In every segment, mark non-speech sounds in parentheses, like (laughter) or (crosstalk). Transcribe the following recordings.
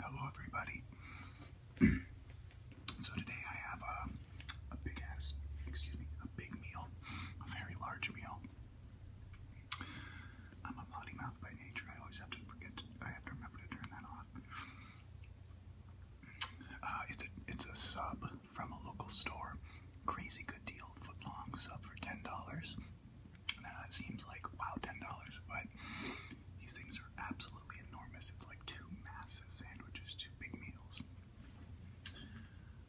Hello, everybody. (clears throat) so today I have a, big ass, excuse me, a big meal, a very large meal. I'm a potty mouth by nature. I always have to forget. I have to remember to turn that off. Uh, it's a it's a sub from a local store. Crazy good deal, foot long sub for ten dollars. Now that seems like wow, ten dollars, but these things are absolutely enormous. It's like two massive sandwiches, two big meals.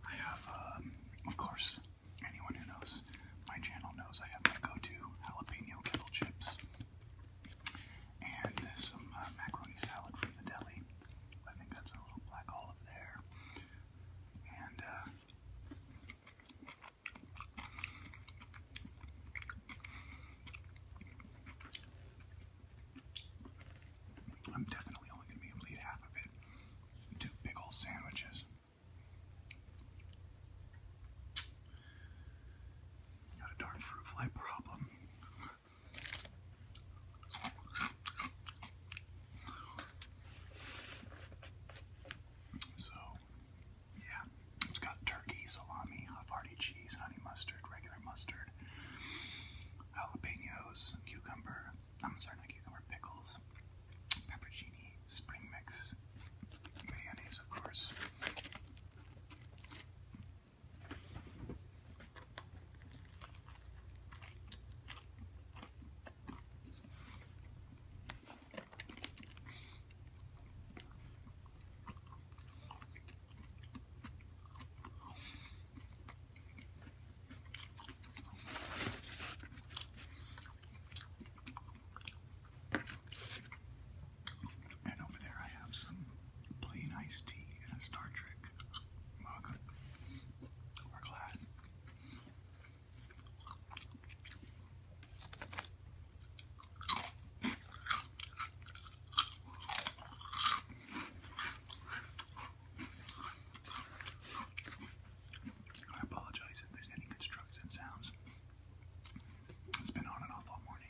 I have, um, of course, anyone who knows my channel knows I have my go-to jalapeno kettle chips and some uh, macaroni salad from the deli. I think that's a little black olive there, and. Uh, I'm definitely only going to be able to eat half of it. Two big old sandwiches. Got a darn fruit fly problem. So yeah, it's got turkey, salami, Havarti cheese, honey mustard, regular mustard, jalapenos, cucumber, I'm sorry, not cucumber, pickles, peppercini, spring mix, mayonnaise, of course. And over there, I have some plain iced tea in a Star Trek mug or glass. I apologize if there's any construction sounds. It's been on and off all morning.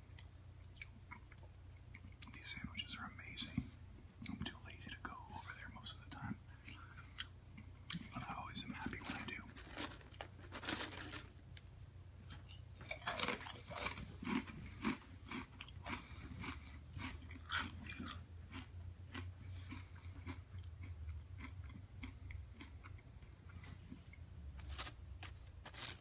These sandwiches are amazing. I'm too lazy to go over there most of the time, but I always am happy when I do.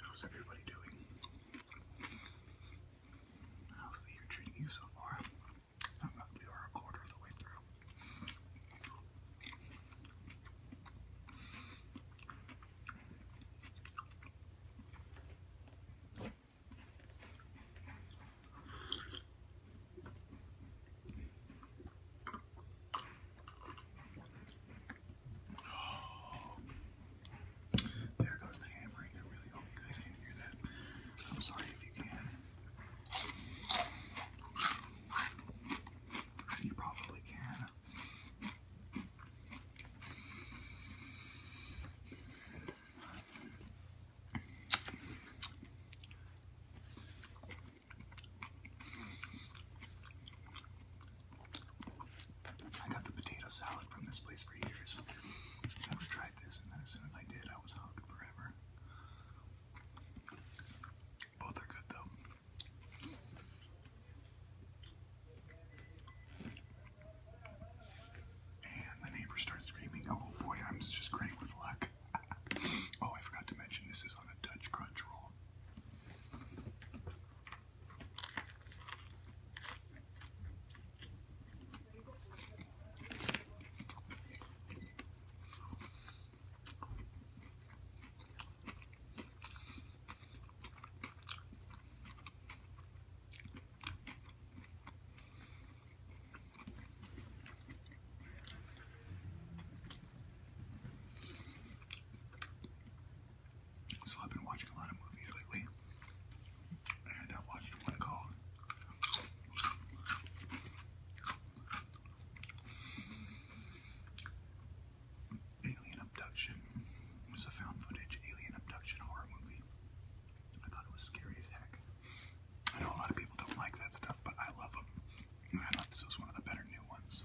How's everybody doing? How's the year treating you so far? we are a quarter of the way through. Oh. There goes the hammering. I really hope you guys can hear that. I'm sorry if you can. You probably can. I got the potato salad from this place for years. never tried this, and then as soon as I did, I was hooked forever. Both are good though. And the neighbor starts screaming, Oh boy, I'm just great with luck oh, I forgot to mention this is on a Dutch crunch roll. So I've been watching a lot of movies lately, and I watched one called Alien Abduction. It was a found footage alien abduction horror movie. I thought it was scary as heck. I know a lot of people don't like that stuff, but I love them. I thought this was one of the better new ones.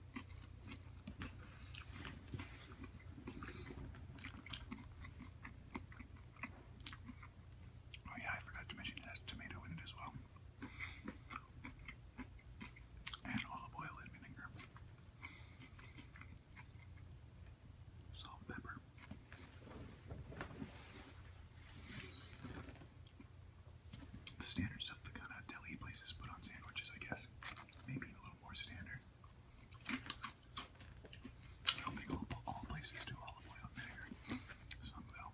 Oh yeah, I forgot to mention it has tomato in it as well. And olive oil and vinegar. Salt pepper. The standard stuff the kind of deli places put on sandwiches, I guess. Maybe a little more standard. I don't think all, all places do olive oil in here. Some though.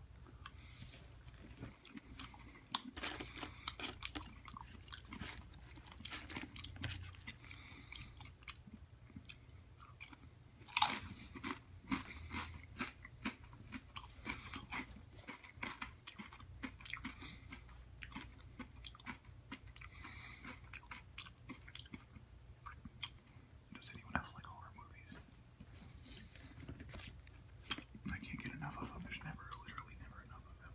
Does anyone else like horror movies? I can't get enough of them. There's never, literally never enough of them.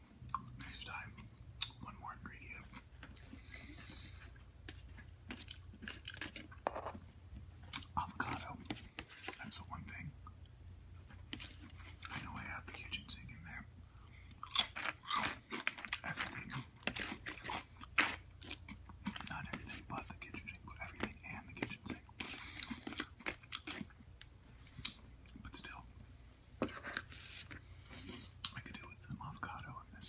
next time, one more ingredient. Avocado. That's the one thing. I know I have the kitchen sink in there. Everything. Not everything but the kitchen sink, but everything and the kitchen sink. But still, I could do with some avocado on this.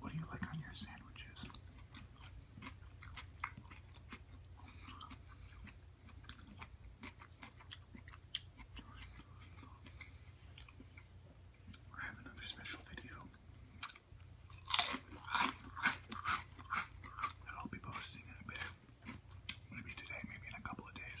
What do you like on your sandwiches? I have another special video I'll be posting in a bit. Maybe today, maybe in a couple of days.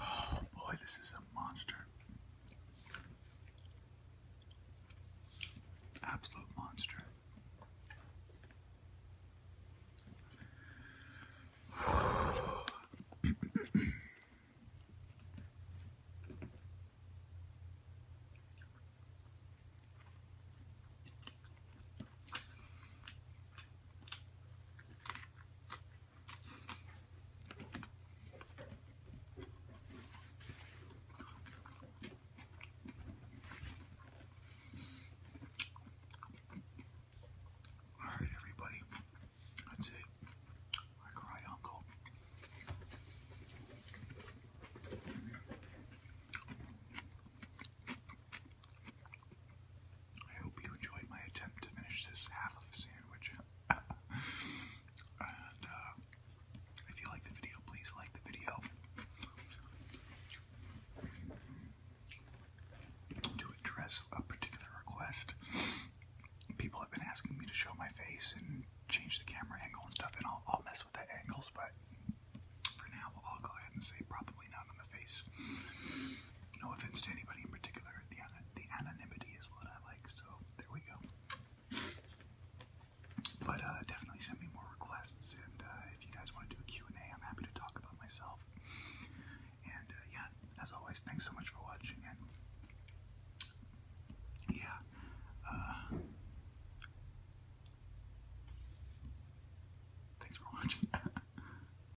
Oh boy, this is a monster. Absolute monster. Alright, everybody, that's it. I cry, Uncle. I hope you enjoyed my attempt to finish this half of the sandwich. (laughs) and uh, if you like the video, please like the video. To address a particular request, people have been asking me to show my face and change the camera angle and stuff, and I'll mess with the angles, but for now, I'll go ahead and say probably not on the face. No offense to anybody in particular, the, the anonymity is what I like, so there we go. But uh, definitely send me more requests, and uh, if you guys want to do a and a am happy to talk about myself. And uh, yeah, as always, thanks so much for watching, yeah, thanks for watching. (laughs)